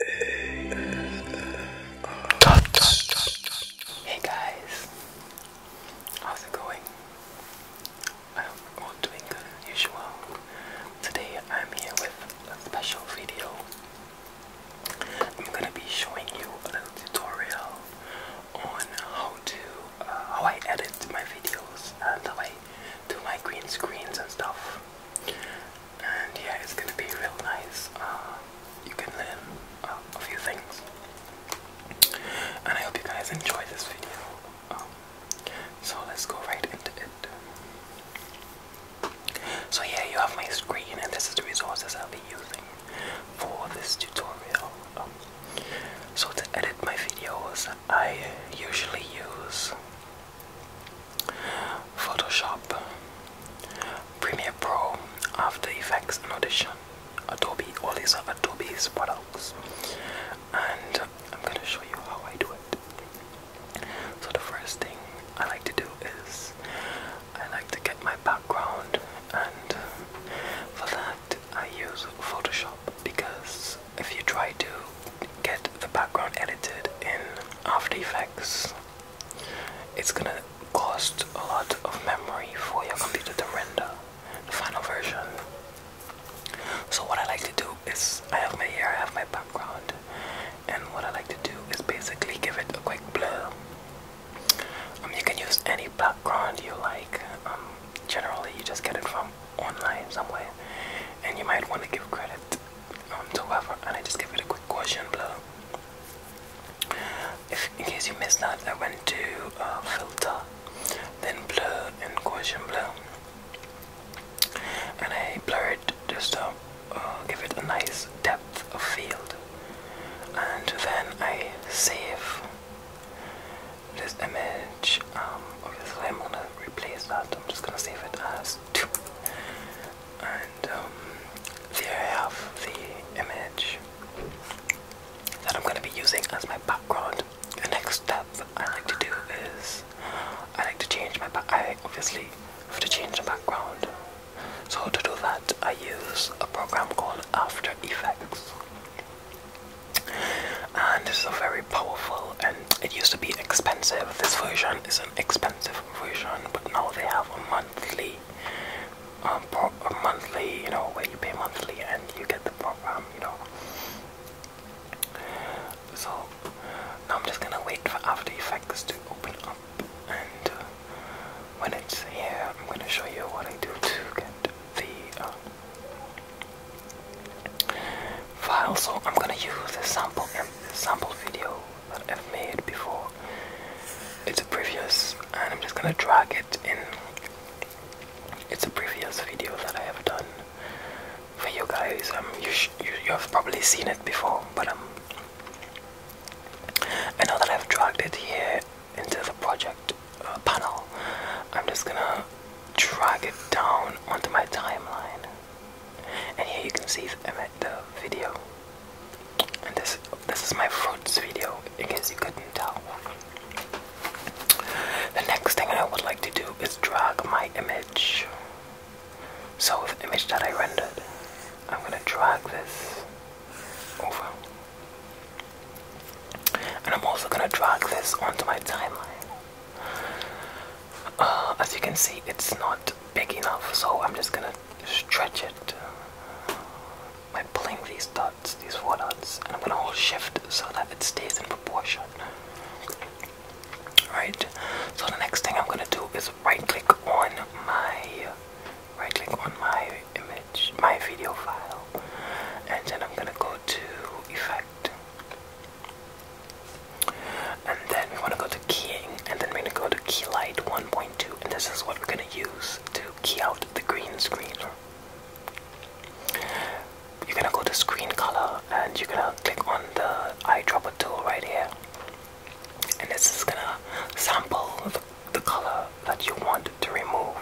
Hey guys, how's it going? I hope all doing good usual. Today I'm here with a special video. I'm gonna be showing you a little tutorial on how to uh, how I edit my videos and how I do my green screens and stuff and yeah, it's gonna be real nice. Uh, you can learn uh, a few things, and I hope you guys enjoy this video. Um, so let's go right into it. So yeah, you have my screen, and this is the resources I'll be using for this tutorial. Um, so to edit my videos, I usually use Photoshop, Premiere Pro, After Effects, and Audition. Adobe, all these are Adobe's products, and I'm gonna show you how I do it. So, the first thing I like to do is I like to get my background, and for that, I use Photoshop because if you try to get the background edited in After Effects, it's gonna cost a lot of memory for your computer to render the final version. So what I like to do is I have my hair, I have my background, and what I like to do is basically give it a quick blur. Um, you can use any background you like. Um, generally, you just get it from online somewhere, and you might want to give credit um, and I just give it a quick question blow. If in case you missed that, I went to uh, filter, then blur and Gaussian blur, and I blur it just to uh, uh, give it a nice depth of field, and then I save this image. Um, obviously, I'm gonna replace that. I'm just gonna save it as and um, I have the image that I'm going to be using as my background. The next step I like to do is I like to change my back. I obviously have to change the background. So to do that, I use a program called After Effects, and it's a very powerful. And it used to be expensive. This version is an expensive version, but now they have a monthly, um, a monthly, you know, where you pay monthly and you get the program, you know. So now I'm just gonna wait for After Effects to open up, and uh, when it's here, I'm gonna show you what I do to get the um, file. So I'm gonna use a sample, um, sample video that I've made before. It's a previous, and I'm just gonna drag it in. It's a previous video that I have done for you guys. Um, you, you you have probably seen it before, but um, I know that I've dragged it here into the project uh, panel. I'm just gonna drag it down onto my timeline. And here you can see the video. And this this is my fruits video, in case you couldn't tell. The next thing I would like to do is drag my image. So the image that I rendered, I'm gonna drag this over. And I'm also gonna drag this onto my timeline. Uh, as you can see, it's not big enough, so I'm just gonna stretch it by uh, pulling these dots, these four dots, and I'm gonna hold shift so that it stays in proportion. Right, so the next thing I'm gonna do is right click on my right click on my image, my video file, and then I'm gonna go to effect. And then we want to go to keying, and then we're going to go to Keylight 1.2, and this is what we're going to use to key out the green screen. You're going to go to screen color, and you're going to click on the eyedropper tool right here. And this is going to sample the, the color that you want to remove.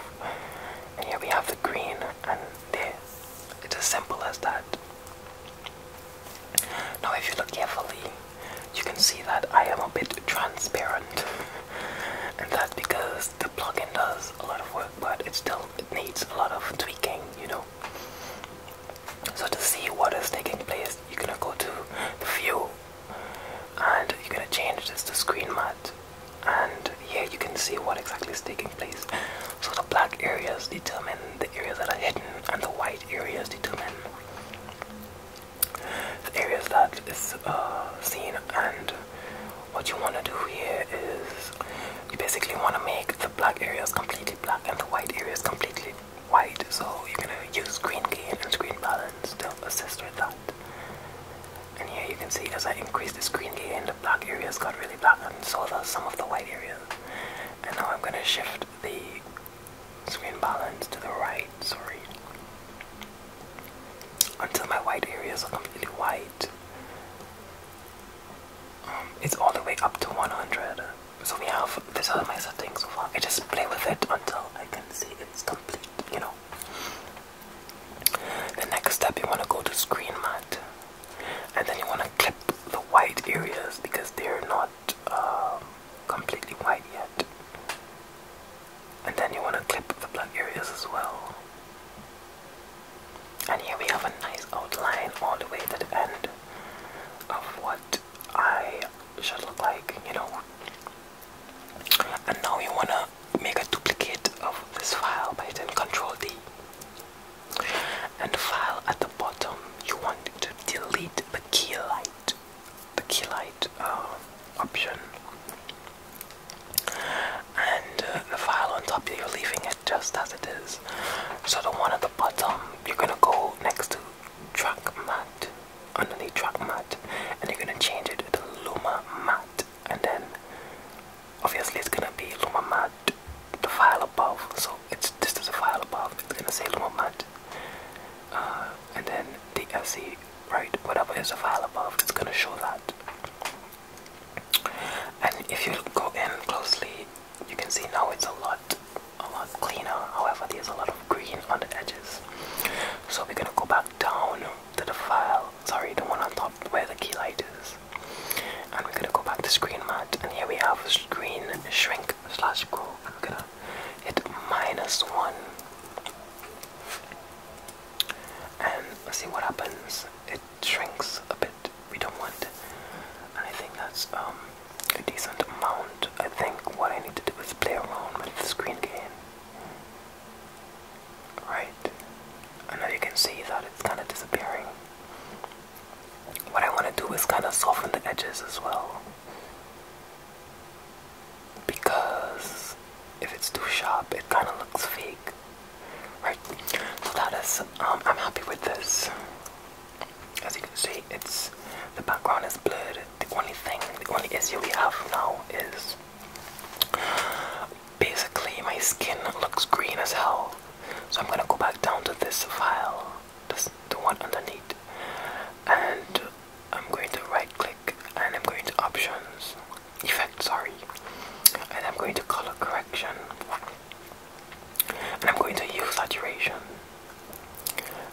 And here we have the green, and there. It's as simple as that. Now, if you look carefully, you can see that I am a bit transparent, and that's because the plugin does a lot of work, but it still needs a lot of tweaking, you know. So to see what is taking place, you're gonna go to the view, and you're gonna change this to screen mat, and here you can see what exactly is taking place. So the black areas determine the areas that are hidden and the white areas determine the areas that is uh, seen and what you want to do here is you basically want to make the black areas completely black and the white areas completely white so you're going to use green gain and green balance to assist with that and here you can see as I increase the green gain the black areas got really black and so does some of the white areas and now I'm going to shift the Screen balance to the right, sorry. Until my white areas are completely white. Um, it's all the way up to 100. So we have, this other my setting so far. I just play with it until I can see it's complete, you know. The next step, you want to go to screen mat. And then you want to clip the white areas because they're not um, completely white yet. And then you want to clip the black areas as well. And here we have a nice outline all the way to the end of what I should look like, you know. And now you want to make a duplicate of this file by hitting Control D. And the file at the bottom, you want to delete the the key light the key light uh, option and uh, the file on top you're leaving it just as it is so the one at the bottom you're gonna go next to track mat underneath track mat and you're gonna change it to luma mat and then obviously it's gonna be luma mat the file above. So it's this is a file above. It's gonna say Lumamant. Uh, and then the SE, right? Whatever is a file above, it's gonna show that. And if you go in closely, you can see now it's a lot, a lot cleaner. However, there's a lot of green on the edges. So we're gonna go back down to the file. Sorry, the one on top where the key light is. And we're gonna go back to screen mat, and here we have screen shrink click slash grow. I'm gonna hit minus one and let's see what happens. It shrinks a bit. We don't want, and I think that's um, a decent amount. I think what I need to do is play around with the screen gain. Right, and now you can see that it's kind of disappearing what I want to do is kind of soften the edges as well. Because if it's too sharp, it kind of looks fake. Right, so that is, um, I'm happy with this. As you can see, it's, the background is blurred. The only thing, the only issue we have now is basically my skin looks green as hell. So I'm gonna go back down to this file that's the one underneath and I'm going to right click and I'm going to options effects, sorry and I'm going to color correction and I'm going to use saturation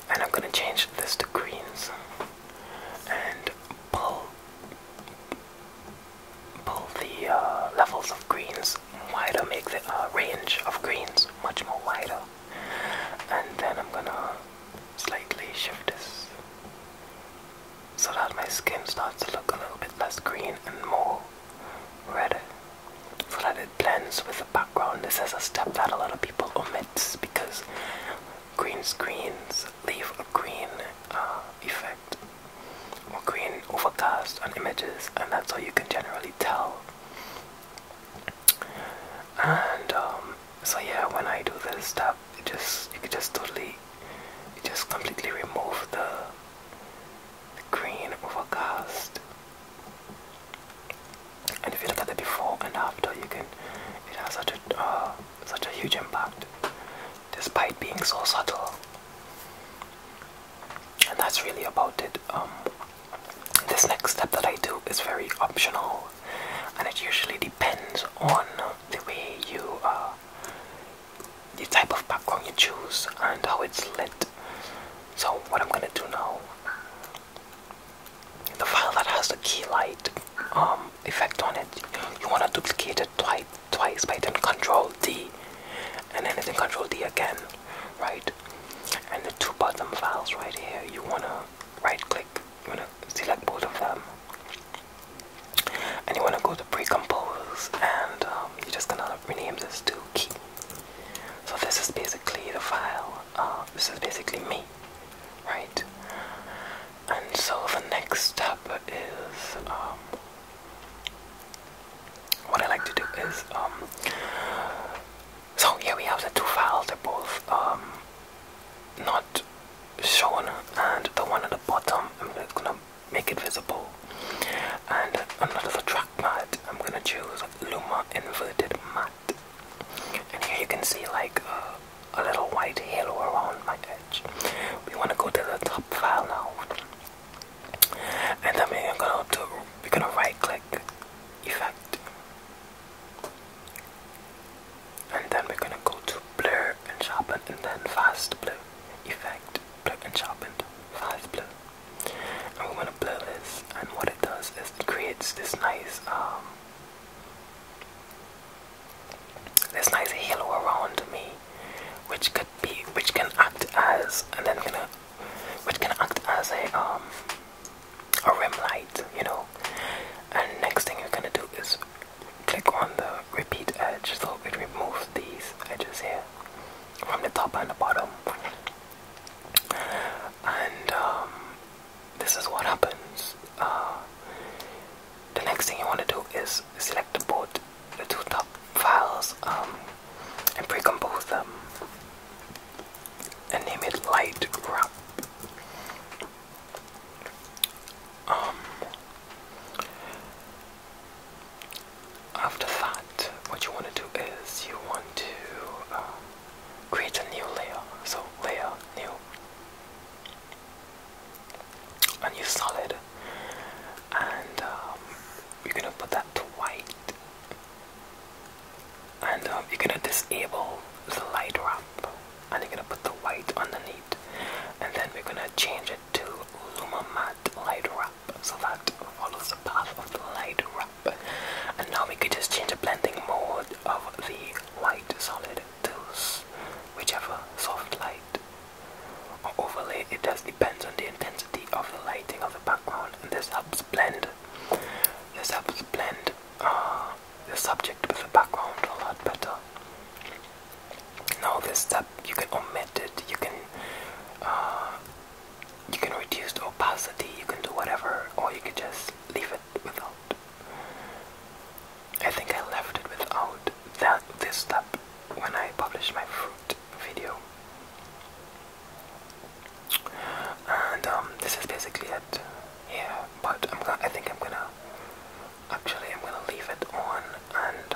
and I'm going to change this to greens and pull pull the uh, levels of greens wider make the uh, range of greens much more wider and then I'm gonna slightly shift this so that my skin starts to look a little bit less green and more red so that it blends with the background. This is a step that a lot of people omit because green screens leave a green uh, effect or green overcast on images and that's how you can generally tell and um, so yeah when I do this stuff, it just it could just totally you just completely remove the, green overcast and if you look at the before and after you can it has such a uh, such a huge impact despite being so subtle and that's really about it. Um, this next step that I do is very optional, and it usually depends on the way you, uh, the type of background you choose, and how it's lit. So, what I'm gonna do now, the file that has the key light um, effect on it, you wanna duplicate it twice, twice by then Control D, and then then Control D again right? And the two bottom files right here, you wanna right click, you wanna select both of them. And you wanna go to pre-compose and um, you're just gonna rename this to key. So this is basically the file, uh, this is basically me, right? And so the next step is, um, what I like to do is, um, so here we have the two files, they're both um, not shown and the one at the bottom I'm gonna make it visible and another track mat I'm gonna choose Luma Inverted Matte and here you can see like uh, a little white halo around my edge. We wanna go to the top file now and then we gonna, do, we're gonna right click effect and then we're gonna go to blur and sharpen and then fast blur effect blur and sharpened fast blur and we want to blur this and what it does is it creates this nice um, this nice halo around me which could be which can act as and then we're gonna which can act as a um, a rim light, you know. And next thing you're gonna do is click on the repeat edge, so it removes these edges here from the top and the bottom. And um, this is what happens. Uh, the next thing you want to do is select both the two top files um, and pre-compose them and name it light crop. Um, after that, what you want to do is you want to um, create a new layer. So layer new, a new solid, and um, you're gonna put that to white and um, you're gonna disable the light wrap and you're gonna put the white underneath and then we're gonna change it to Luma Matte Light Wrap so that follows the path of the light wrap and now we could just change the blending mode of the white solid to whichever soft light or overlay it just depends on the intensity of the lighting of the background and this helps blend this helps blend uh, the subject with the background a lot better. Now this step you can omit it, you can uh, you can reduce opacity, you can do whatever, or you can just leave it without. I think I left it without that this step when I published my fruit video and um, this is basically it here but I'm I think I'm gonna actually I'm gonna leave it on and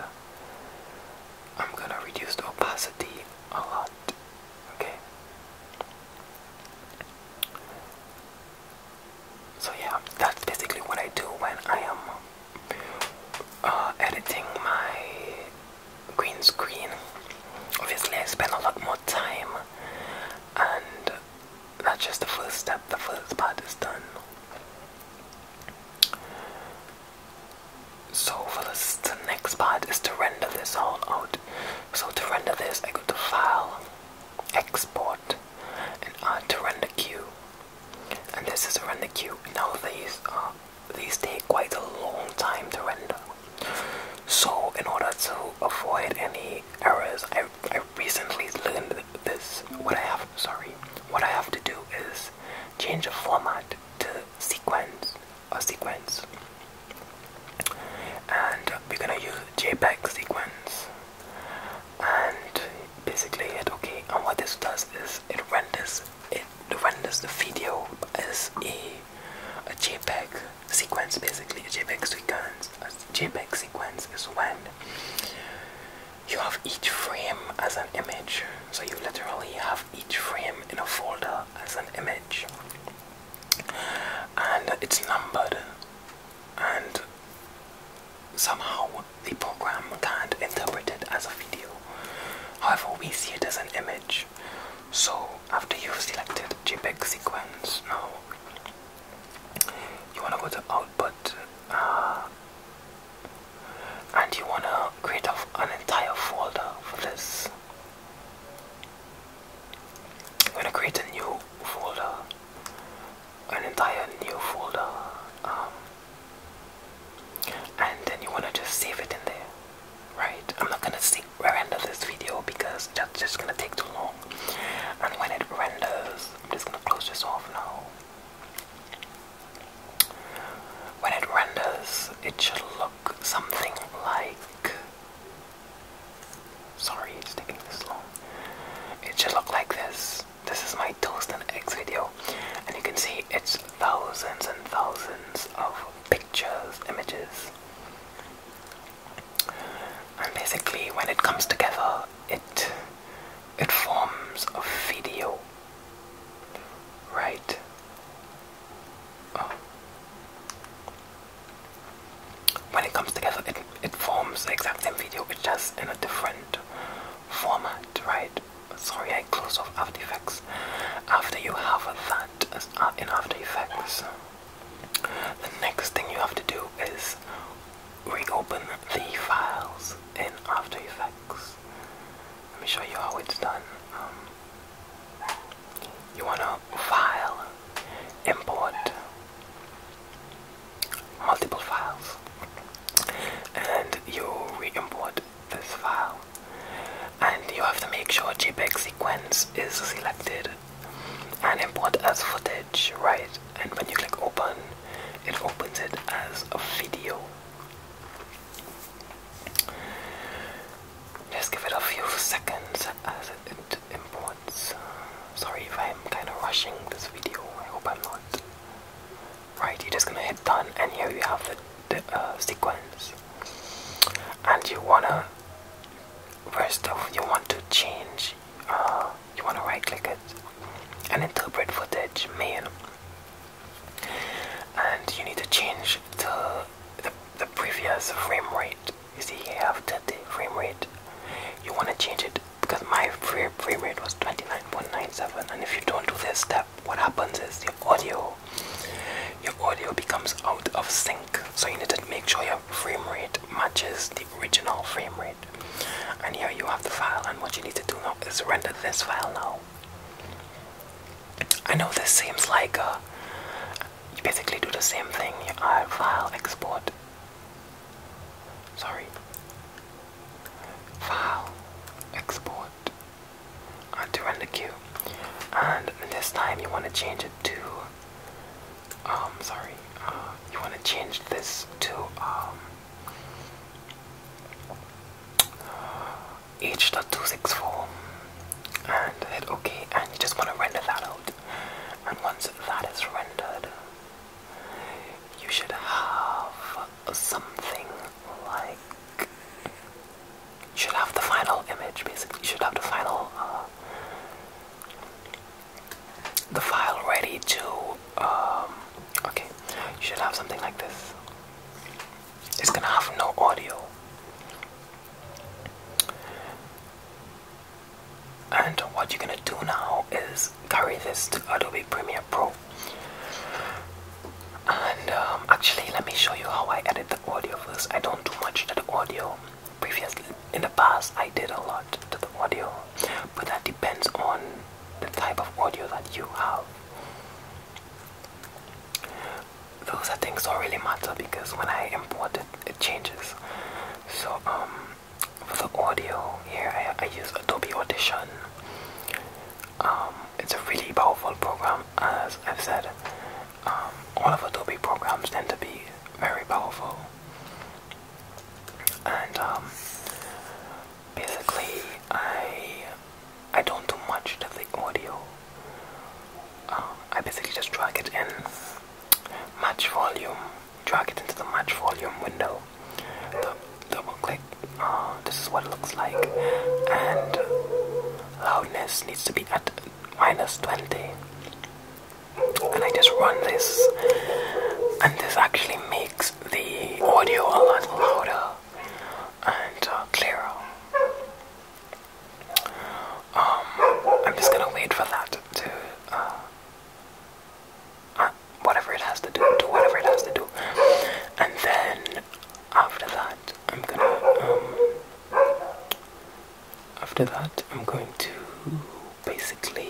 I'm gonna reduce the opacity a lot okay so yeah that's basically what I do when I am uh, editing my green screen. Obviously, I spend a lot more time, and that's just the first step. The first part is done. So, for this, the next part is to render this all out. So, to render this, I go to File, Export, and add to Render Queue. And this is Render Queue. Now, these are these take quite a long time to render. So in order to avoid any errors, I, I recently learned this. What I have, sorry, what I have to do is change the format to sequence, a sequence. And we're gonna use JPEG sequence. And basically hit OK. And what this does is it renders it it renders the video as a, a JPEG sequence basically. A JPEG sequence, a JPEG sequence is when you have each frame as an image. So you literally have each frame in a folder as an image. And it's numbered and somehow the program can't interpret it as a video. However, we see it as an image. So after you've selected JPEG sequence, now you want to go to output uh, and you want to create an entire folder for this. I'm going to create a new folder, an entire new folder, um, and then you want to just save it in there right? I'm not gonna see, render this video because that's just gonna take too long. And when it renders, I'm just gonna close this off now. When it renders, it should look something like. Sorry, it's taking this long. It should look like this. This is my toast and eggs video, and you can see it's thousands and thousands of pictures, images, and basically, when it comes together, it it forms a video, right? Oh. When it comes together, it it forms the exact same video, but just in a different format, right? Sorry, I closed off After Effects. After you have that in After Effects. The next thing you have to do is reopen the files in After Effects. Let me show you how it's done. Um, you wanna file, import multiple files, and you re-import this file and you have to make sure JPEG sequence is selected and import as footage, right? And when you click open, it opens it as a video. Just give it a few seconds as it imports. Sorry if I'm kind of rushing this video, I hope I'm not. Right, you're just gonna hit done, and here you have the uh, sequence and you wanna first off you want to change uh, you wanna right click it and interpret footage man. and you need to change the, the, previous frame rate you see you have 30 frame rate you wanna change it because my frame rate was 29.97 and if you don't do this step what happens is the audio your audio becomes out of sync. So you need to make sure your frame rate matches the original frame rate. And here you have the file, and what you need to do now is render this file now. I know this seems like uh, you basically do the same thing. You uh, file, export. Sorry. File, export, to render the queue. And this time you want to change it to um sorry, uh you want to change this to um Dot two six four, and hit OK and you just want to render that out. And once that is rendered, you should have something like should have the final image basically should have the final uh, the file ready to um, okay you should have something like this it's gonna have no audio and what you're gonna do now is carry this to Adobe Premiere Pro and um, actually let me show you how I edit the audio first I don't do much to the audio previously in the past I did a lot to the audio but that depends on the type of audio that you have those are things don't really matter because when I import it it changes so um, for the audio here I, I use Adobe Audition um, it's a really powerful program as I've said um, all of Adobe programs tend to be very powerful. And um, basically, I I don't do much to the audio. Um, I basically just drag it in match volume, drag it into the match volume window, double click. Uh, this is what it looks like, and loudness needs to be at minus 20 and I just run this and this actually makes the audio a lot louder and uh, clearer um, I'm just gonna wait for that to uh, uh whatever it has to do to whatever it has to do and then after that I'm gonna um, after that, I'm going to basically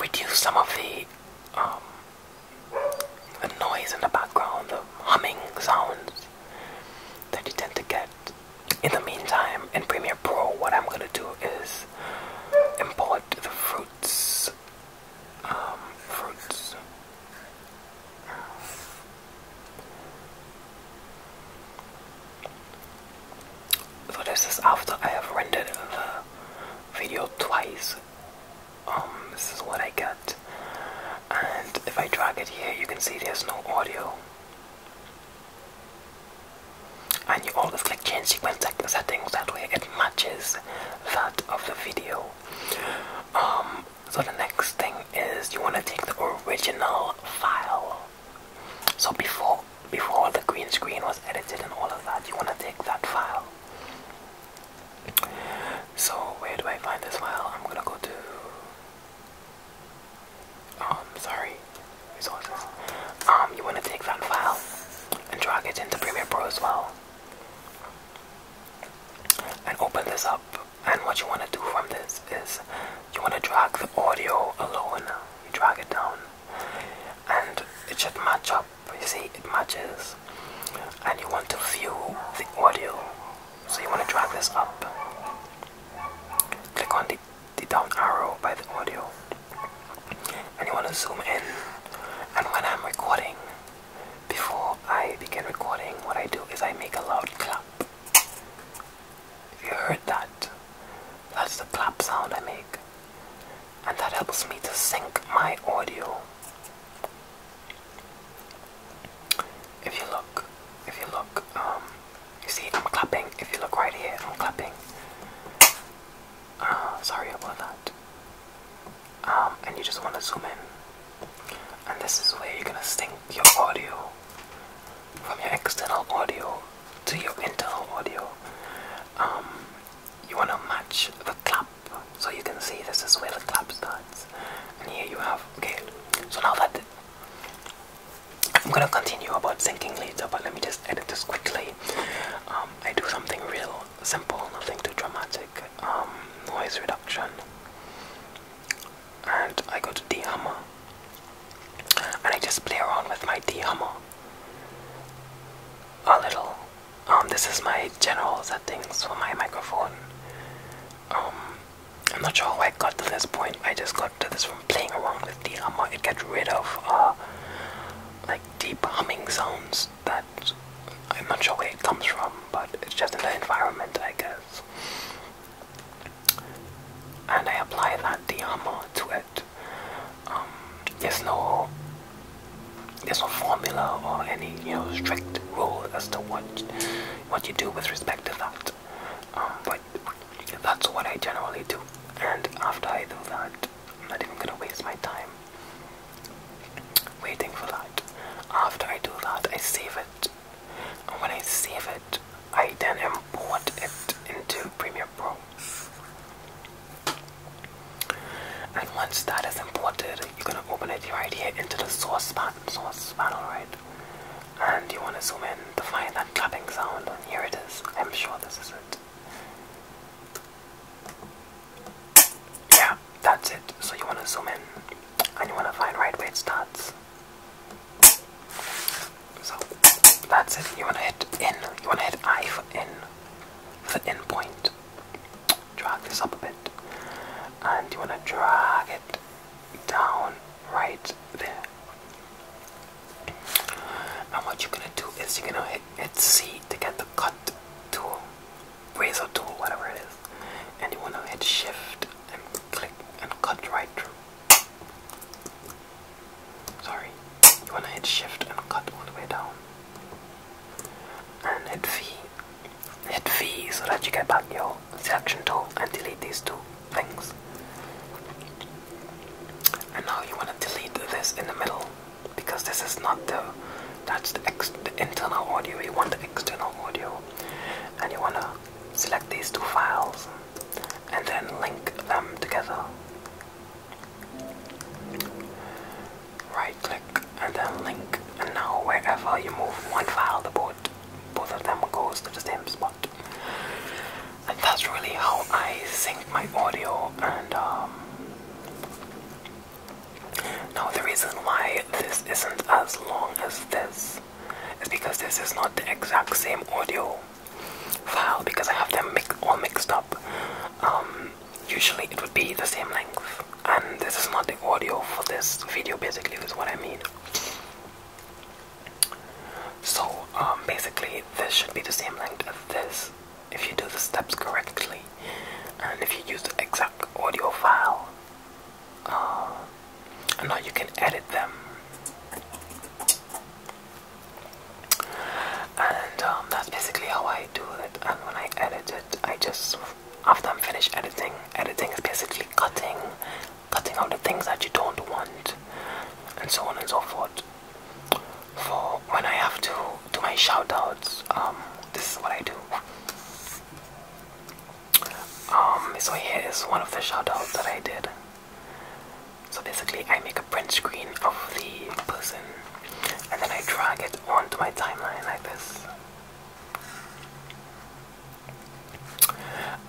reduce some of the um, the noise in the background, the humming sounds that you tend to get. In the meantime, in Premiere Pro, what I'm gonna do is import the fruits, um, fruits, so this is after I have rendered the video twice. Um, this is what I get. And if I drag it here, you can see there's no audio. And you always click change sequence settings that way it matches that of the video. Um, so the next thing is you want to take the original file. So before before the green screen was edited and all of that, you want to take that file. So where do I find this file? I'm gonna go to. Oh, sorry, resources. Um, you want to take that file and drag it into Premiere Pro as well, and open this up and what you want to do from this is you want to drag the audio alone. You drag it down, and it should match up. You see, it matches, and you want to view the audio. So you want to drag this up. Click on the, the down arrow by the audio, and you want to zoom in. And when I'm recording, before I begin recording, what I do is I make a loud clap. If you heard that, that's the clap sound I make. And that helps me to sync my audio. If you look, if you look, um, you see I'm clapping. If you look right here, I'm clapping. Uh, sorry about that. Um, and you just want to zoom in. And this is where you're gonna sync your audio from your external audio to your internal audio. Um, you wanna match the clap, so you can see this is where the clap starts. And here you have okay. So now that I'm gonna continue about syncing later, but let me just edit this quickly. Um, I do something real simple, nothing too dramatic. Um, noise reduction and I go to the hammer and I just play around with my D hammer a little. Um, this is my general settings for my microphone. Um, I'm not sure how I got to this point. I just got to this from playing around with the hammer. It gets rid of uh, like deep humming sounds that I'm not sure where it comes from, but it's just in the environment, I go. And I apply that diamond to it. Um, there's no there's no formula or any you know strict rule as to what what you do with respect to that. Um, but that's what I generally do. And after I do that, I'm not even gonna waste my time waiting for that. After I do that, I save it and when I save it, I then import it into Premiere Pro. And once that is imported, you're gonna open it right here into the source source panel, right? And you wanna zoom in to find that clapping sound, and here it is. I'm sure this is it. Yeah, that's it. So you want to zoom in and you want to find right where it starts. So that's it. You want to hit in. You want to hit I for in, for the in point. Drag this up a bit. And you want to drag it down right there. And what you're going to do is you're going to hit C to get the cut tool, razor tool, whatever it is and you want to hit shift and click and cut right through. Sorry, you want to hit shift and cut all the way down. And hit V. Hit V so that you get back your selection tool and delete these two things. And now you want to delete this in the middle because this is not the that's the, ex, internal audio. You want to external audio and you want to select these two files and then link them together. Right click and then link and now wherever you move one file the both, both of them goes to the same spot. And that's really how I sync my audio and um, now, the reason why this isn't as long as this is because this is not the exact same audio file because I have them all mixed up. Um, usually, it would be the same length, and this is not the audio for this video, basically, is what I mean. So, um, basically, this should be the same length as this if you do the steps correctly and if you use the exact audio file um, and now you can edit them. And um, that's basically how I do it. And when I edit it, I just after I'm finished editing, editing is basically cutting, cutting out the things that you don't want, and so on and so forth. For when I have to do my shoutouts, um, this is what I do. Um, so here is one of the shoutouts that I did. So basically, I make a print screen of the person, and then I drag it onto my timeline like this.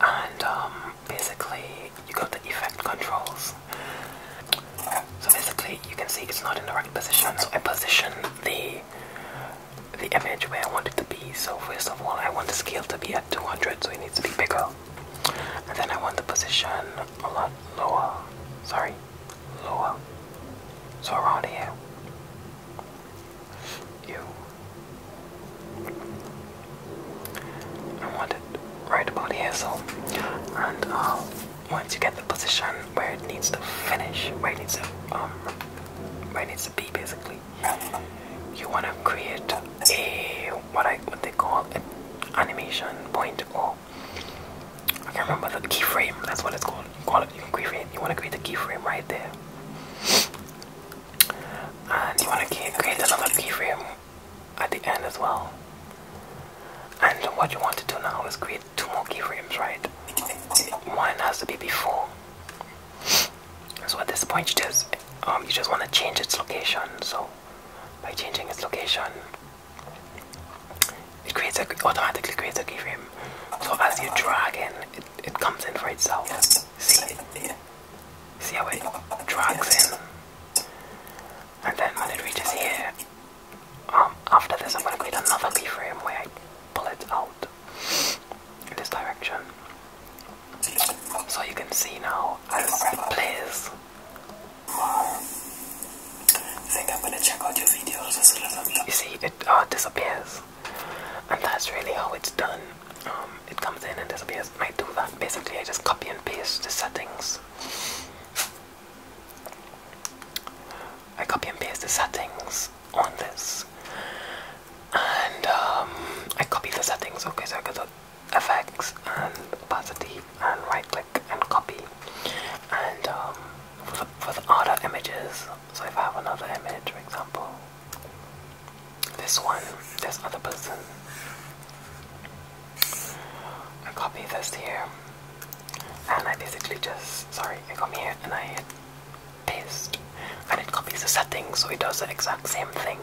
And um, basically, you got the effect controls. So basically, you can see it's not in the right position. So I position the the image where I want it to be. So first of all, I want the scale to be at 200, so it needs to be bigger. And then I want the position a lot lower. Sorry, lower. So around here. You. I want it right about here, so. And uh, once you get the position where it needs to finish, where it needs to um, it needs to be basically you want to create a what I what they call an animation point or I can't remember the keyframe that's what it's called you call it you can keyframe you want to create a keyframe right there and you want to create another keyframe at the end as well and what you want to do now is create two more keyframes right one has to be before so what this point, you um, you just want to change its location. So by changing its location, it creates automatically creates a keyframe. So as you drag in, it, it comes in for itself. See, see how it drags in, and then when it reaches here, um, after this, I'm gonna create another keyframe where I pull it out in this direction. So you can see now as it plays. I think I'm gonna check out your videos as soon as I'm done. You see, it all uh, disappears, and that's really how it's done. Um, it comes in and disappears, I do that basically. I just copy and paste the settings. I copy and paste the settings on this and um, I copy the settings okay so I go to effects and opacity and right click and copy and um, for, the, other images so if I have another image for example this one this other person I copy this here and I basically just sorry I come here and I hit paste and it copies the settings so it does the exact same thing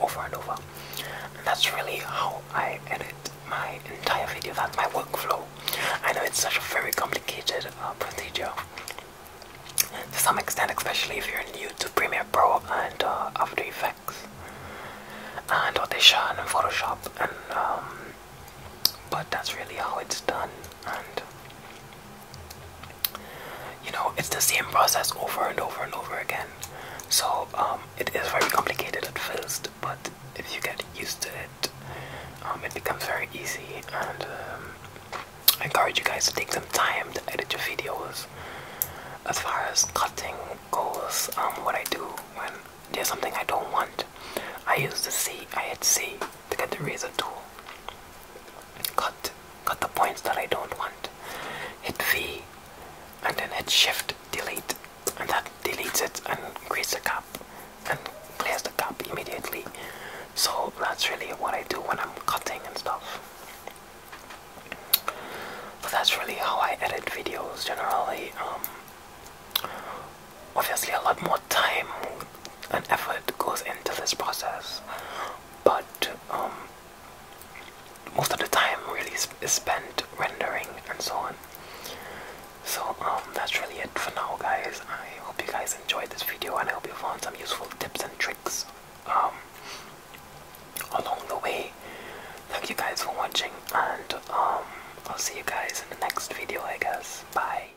over and over and that's really how I edit my entire video that's my workflow I know it's such a very complicated uh, procedure to some extent especially if you're new to Premiere Pro and uh, After Effects and Audition and Photoshop and um, but that's really how it's done and you know it's the same process over and over and over again so um, it is very complicated at first but if you get used to it um, it becomes very easy and um, I encourage you guys to take some time to edit your videos as far as cutting goes what I do when there's something I don't want I use the C I hit C to get the razor tool Cut, got the points that I don't want. Hit V and then hit shift delete and that deletes it and creates a cup, and clears the cup immediately. So that's really what I do when I'm cutting and stuff. But that's really how I edit videos generally. Um, obviously a lot more time and effort goes into this process, but um, most of the time really is spent rendering and so on. So um, that's really it for now, guys. I hope you guys enjoyed this video, and I hope you found some useful tips and tricks um, along the way. Thank you guys for watching, and I'll see you guys in the next video, I guess. Bye.